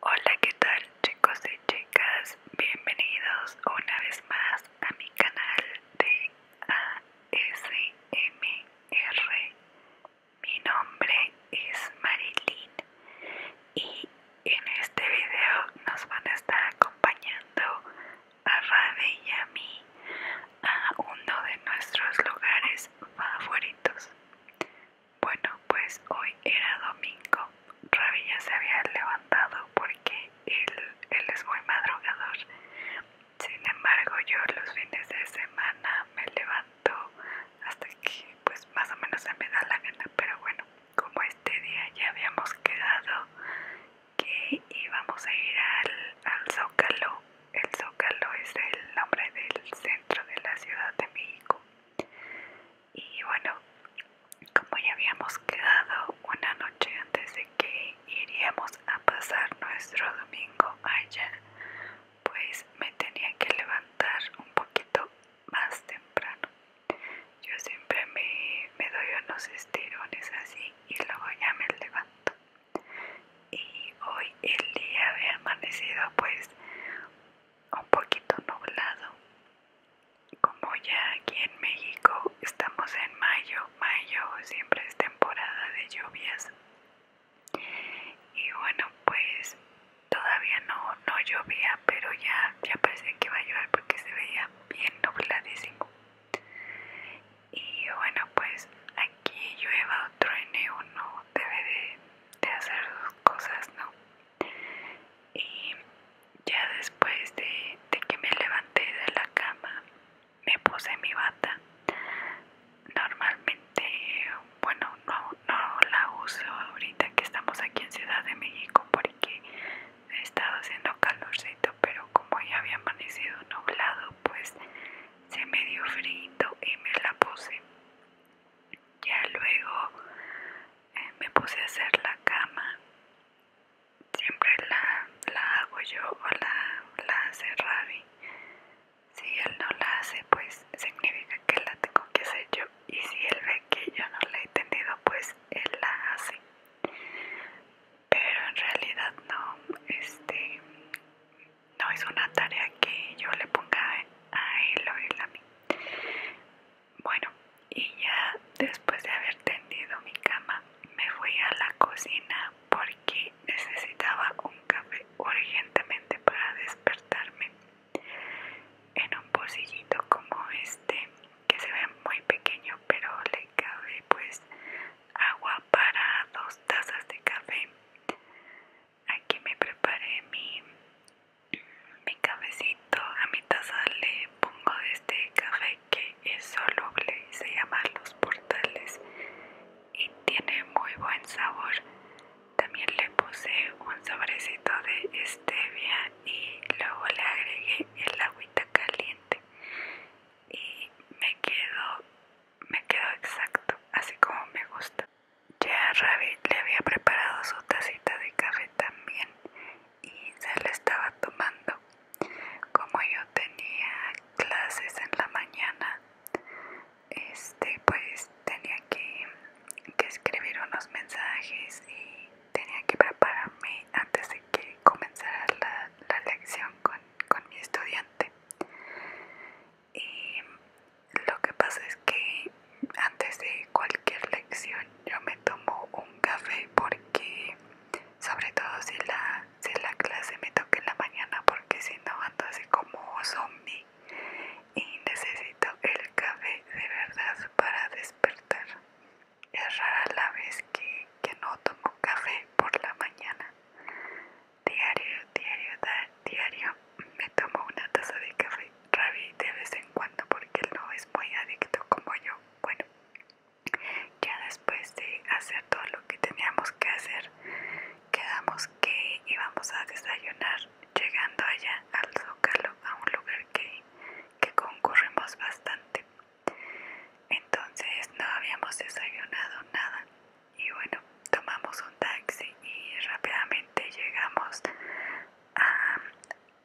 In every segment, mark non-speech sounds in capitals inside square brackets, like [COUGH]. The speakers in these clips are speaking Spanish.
Hola, ¿qué tal chicos y chicas? Bienvenidos una vez más a mi canal de ASMR. Mi nombre es Marilyn y en este video nos van a estar acompañando a Rabe y a mí a uno de nuestros lugares favoritos. Bueno, pues hoy era domingo. Ravi se había levantado porque él, es muy madrugador. Sin embargo, yo los fines de semana me levanto hasta que pues más o menos se me da la gana. Pero bueno, como este día ya habíamos quedado que íbamos a ir al Zócalo. El Zócalo es el nombre del centro de la Ciudad de México. Y bueno, como ya habíamos quedado una noche antes de que iríamos a pasar nuestro domingo allá, pues me tenía que levantar un poquito más temprano. Yo siempre me, doy unos estirones así y luego ya me levanto. Y hoy el día había amanecido pues un poquito nublado. Como ya aquí en México estamos en mayo, mayo siempre es temporada de lluvias. Y bueno, pues todavía no, no llovía, pero ya, ya pensé que iba a llover porque se veía bien nubladísimo. Y bueno, pues aquí llueva otro n1 no debe de, de hacer dos cosas, ¿no? Y ya después de, que me levanté de la cama, me puse mi bata. Normalmente, bueno, no, no la uso ahorita que estamos aquí en Ciudad de México porque he estado haciendo calorcito, pero como ya había amanecido nublado, pues se me dio frío y me la puse. Ya luego eh, me puse a hacer la cama. Siempre la, hago yo o la, la hace Ravi. Si él no la hace, pues significa que la tengo que hacer yo. Y si él ve que yo no la he tenido, pues él la hace. Pero en realidad no, este, no es una tarea que yo le ponga a él o él a mí. Bueno, y ya después de haber tendido mi cama, me fui a la cocina porque necesitaba un café urgentemente para despertarme. En un posillito como este, que se ve muy pequeño, pero le cabe pues agua para dos tazas de café aquí me preparé mi, mi cafecito. A mi taza le pongo este café que es soluble se llama Los Portales y tiene muy buen sabor. También le puse un sobrecito de stevia y luego le agregué el agüita caliente y me quedo me quedó exacto, así como me gusta. Ya Rabbit le había preparado su tacita de café también y se la estaba tomando. Como yo tenía clases en la mañana, este pues tenía que, escribir unos mensajes y tenía que prepararme antes de que comenzara la, lección con, con mi estudiante y em, lo que pasa es que antes de cualquier lección yo me tomo un café porque sobre todo si la, la clase me toca en la mañana porque si no ando así como zombie y necesito el café de verdad para despertar. Es rara la vez que, que no tomo café por la mañana. Diario, diario, diario. Me tomo una taza de café Ravi de vez en cuando porque él no es muy adicto como yo. Bueno, ya después de hacer todo lo que teníamos que hacer, quedamos que íbamos a desayunar llegando allá al Zócalo, a un lugar que concurrimos bastante. Entonces no habíamos desayunado nada y bueno tomamos un taxi y rápidamente llegamos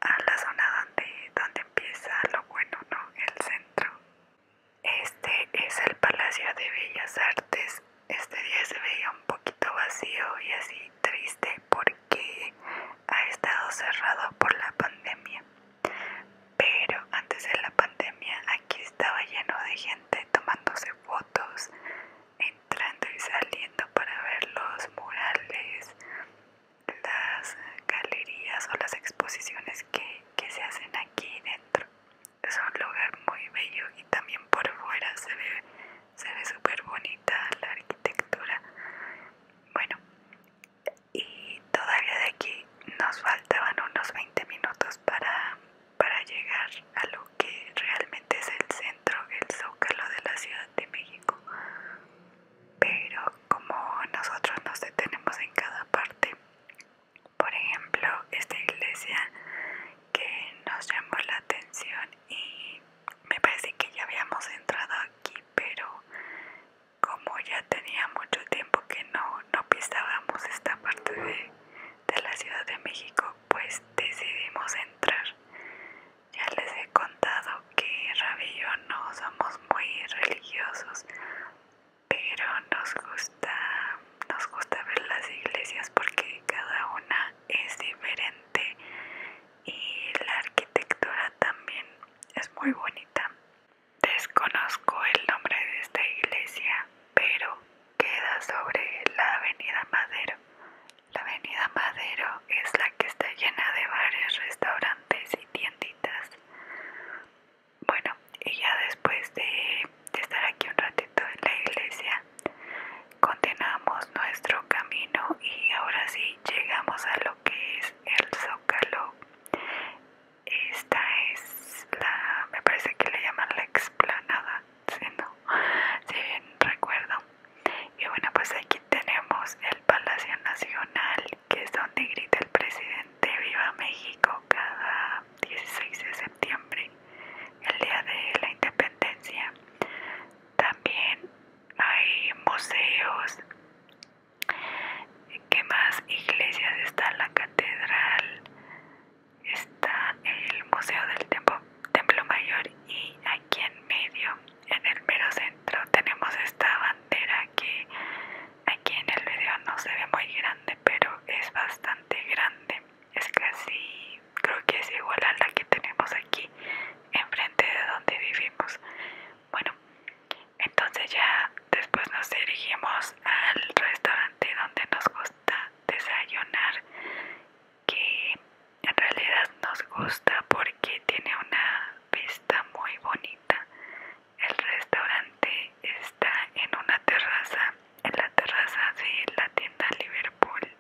a, la zona donde, donde empieza lo bueno no el centro este es el palacio de bellas artes este día se veía un poquito vacío y así triste porque ha estado cerrado por la pandemia pero antes de la pandemia Aquí estaba lleno de gente tomándose fotos, entrando y saliendo para ver los murales, las galerías o las exposiciones que, se hacen aquí dentro. Es un lugar muy bello y también por fuera se ve súper bonita la arquitectura. Bueno, y todavía de aquí nos faltaban unos 20 minutos para para llegar a lo que realmente es el centro, el zócalo de la Ciudad de México. Pero como nosotros nos detenemos en cada parte, por ejemplo, esta iglesia que nos llamó la atención y me parece que ya habíamos entrado aquí, pero como ya tenía mucho tiempo que no, no pisábamos esta parte de de la Ciudad de México, pues decidimos entrar. Ya les he contado que Rabi y no somos muy religiosos, pero nos gusta, nos gusta ver las iglesias porque cada una es diferente y la arquitectura también es muy bonita. Desconozco el nombre de esta iglesia, pero queda sobre la avenida Madero. La avenida Madero es la que está llena de bares, restaurantes y tienditas. Bueno, y ya después de, de estar aquí un ratito en la iglesia, continuamos nuestro camino y ahora sí llegamos a lo que es el Zócalo esta es la, me parece que le llaman la explanada, si no, si bien recuerdo. Y bueno, pues aquí tenemos el Palacio Nacional, que es donde grita el presidente Viva México cada 16 de septiembre, el día de la independencia. También hay museos ¿Qué más iglesias? Está la catedral, está el Museo del Templo, Templo Mayor y aquí en medio, en el mero centro, tenemos esta bandera que aquí en el video no se ve muy grande, pero es bastante grande. Es casi, creo que es igual a la que tenemos aquí enfrente de donde vivimos. Bueno, entonces ya después nos dirigimos al restaurante donde nos gusta desayunar, que en realidad nos gusta porque tiene una vista muy bonita. El restaurante está en una terraza, en la terraza de la tienda Liverpool.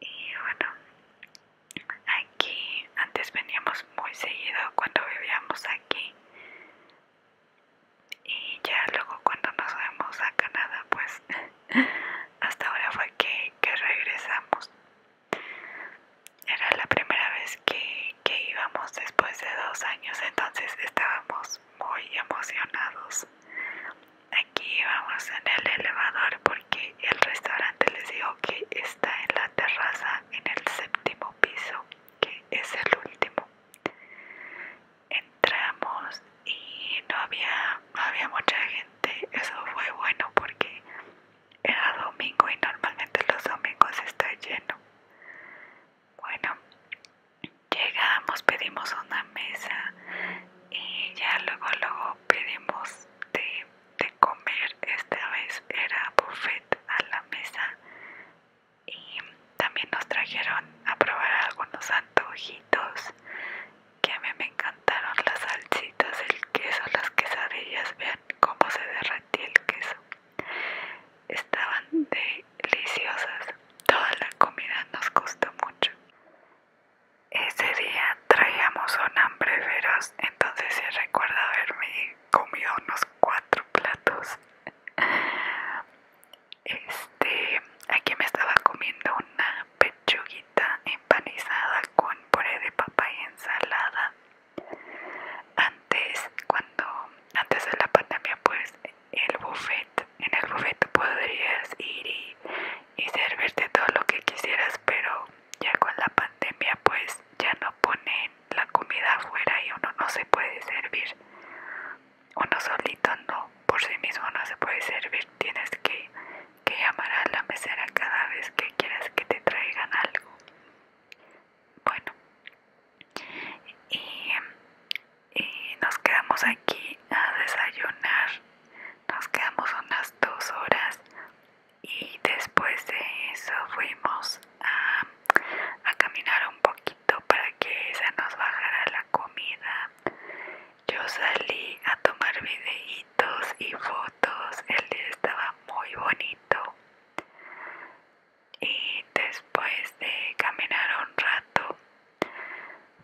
Y bueno, aquí antes veníamos muy seguido cuando vivíamos aquí y ya luego cuando nos vemos a Canadá pues [LAUGHS] hasta ahora fue que, regresamos era la primera vez que, que íbamos después de dos años entonces estábamos muy emocionados aquí íbamos en el elevador porque el restaurante les digo que está en la terraza en el séptimo piso que es el último entramos y no había había mucha gente eso fue bueno porque era domingo y normalmente los domingos está lleno bueno llegamos pedimos una mesa y ya luego luego pedimos de, de comer esta vez era buffet a la mesa y también nos trajeron a probar algunos antojitos que a mí me encantaron las salsitas, el queso, las quesadillas, vean cómo se derretía el queso. Estaban deliciosas, toda la comida nos costó mucho. Ese día traíamos un hambre feroz, entonces se recuerda haberme comido unos cuatro platos. Este, aquí me estaba comiendo una pechuguita empanizada con puré de papa y ensalada. Antes, cuando antes de la pandemia, pues el buffet, en el buffet podrías ir y, y servirte todo lo que quisieras, pero ya con la pandemia, pues ya no ponen la comida afuera y uno no se puede servir. Uno solito no, por sí mismo no se puede servir. Tienes que, llamar a la mesera cada vez que quieras que te traigan algo. Bueno, y nos quedamos aquí a desayunar. Nos quedamos unas dos horas y después de eso fuimos a, caminar un poquito para que se nos bajara la comida. Yo salí a tomar videitos y fotos, el día estaba muy bonito. Y después de caminar un rato,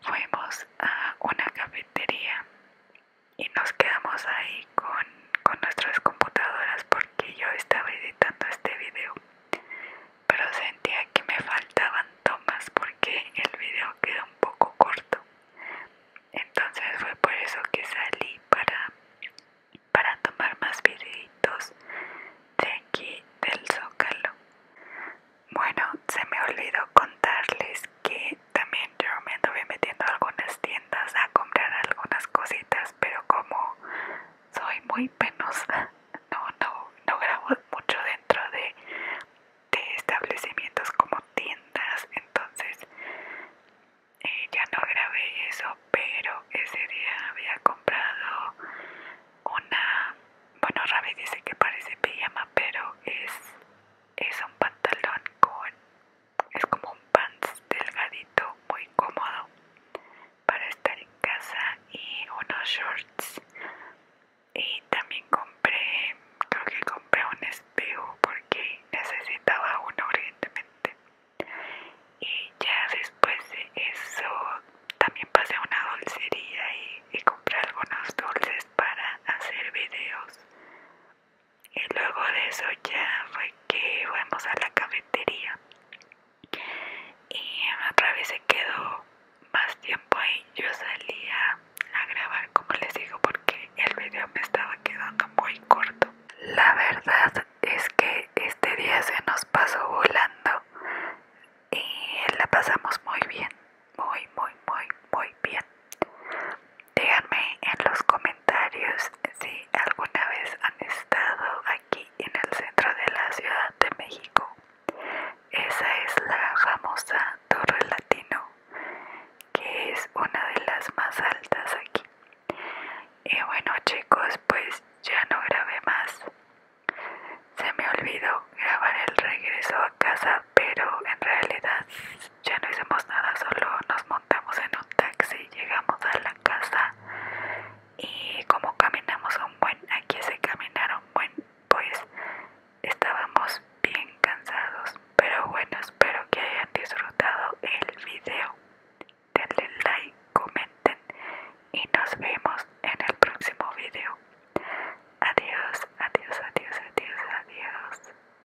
fuimos a una cafetería y nos quedamos ahí con con nuestras computadoras porque yo estaba editando este vídeo, pero sentía que me faltaban tomas porque el vídeo quedó un poco corto entonces fue por eso que salí para para tomar más videitos de aquí del zócalo bueno se me olvidó contarles que también yo me anduve metiendo algunas tiendas a comprar algunas cositas, pero como soy muy penosa, [LAUGHS] no, no, grabo mucho dentro de, de establecimientos como tiendas, entonces eh, ya no grabé eso, pero ese día había comprado una, bueno Ravi dice que parece pijama, pero es, es un pantalón con es como un pants delgadito, muy cómodo para estar en casa y unos shorts. Y también compré, creo que compré un espejo porque necesitaba uno urgentemente. Y ya después de eso también pasé a una dulcería y, compré algunos dulces para hacer videos y luego de eso ya fue que fuimos a la cafetería y otra vez se quedó más tiempo ahí yo salía a grabar como les digo porque el video me estaba quedando muy corto la verdad es que este día se nos pasó volando y la pasamos muy bien muy muy muy muy bien Díganme en los comentarios si alguna vez han estado aquí en el centro de la Ciudad de México. Esa es la famosa Torre Latino, que es una de las más altas aquí. Y bueno chicos, pues ya no grabé más. Se me olvidó grabar el regreso a casa, pero en realidad ya no hicimos nada, solo nos montamos en un taxi, llegamos a la casa y como caminamos un buen, aquí se caminaron buen, pues estábamos bien cansados. Pero bueno, espero que hayan disfrutado el video. Denle like, comenten y nos vemos en el próximo video. Adiós, adiós, adiós, adiós, adiós.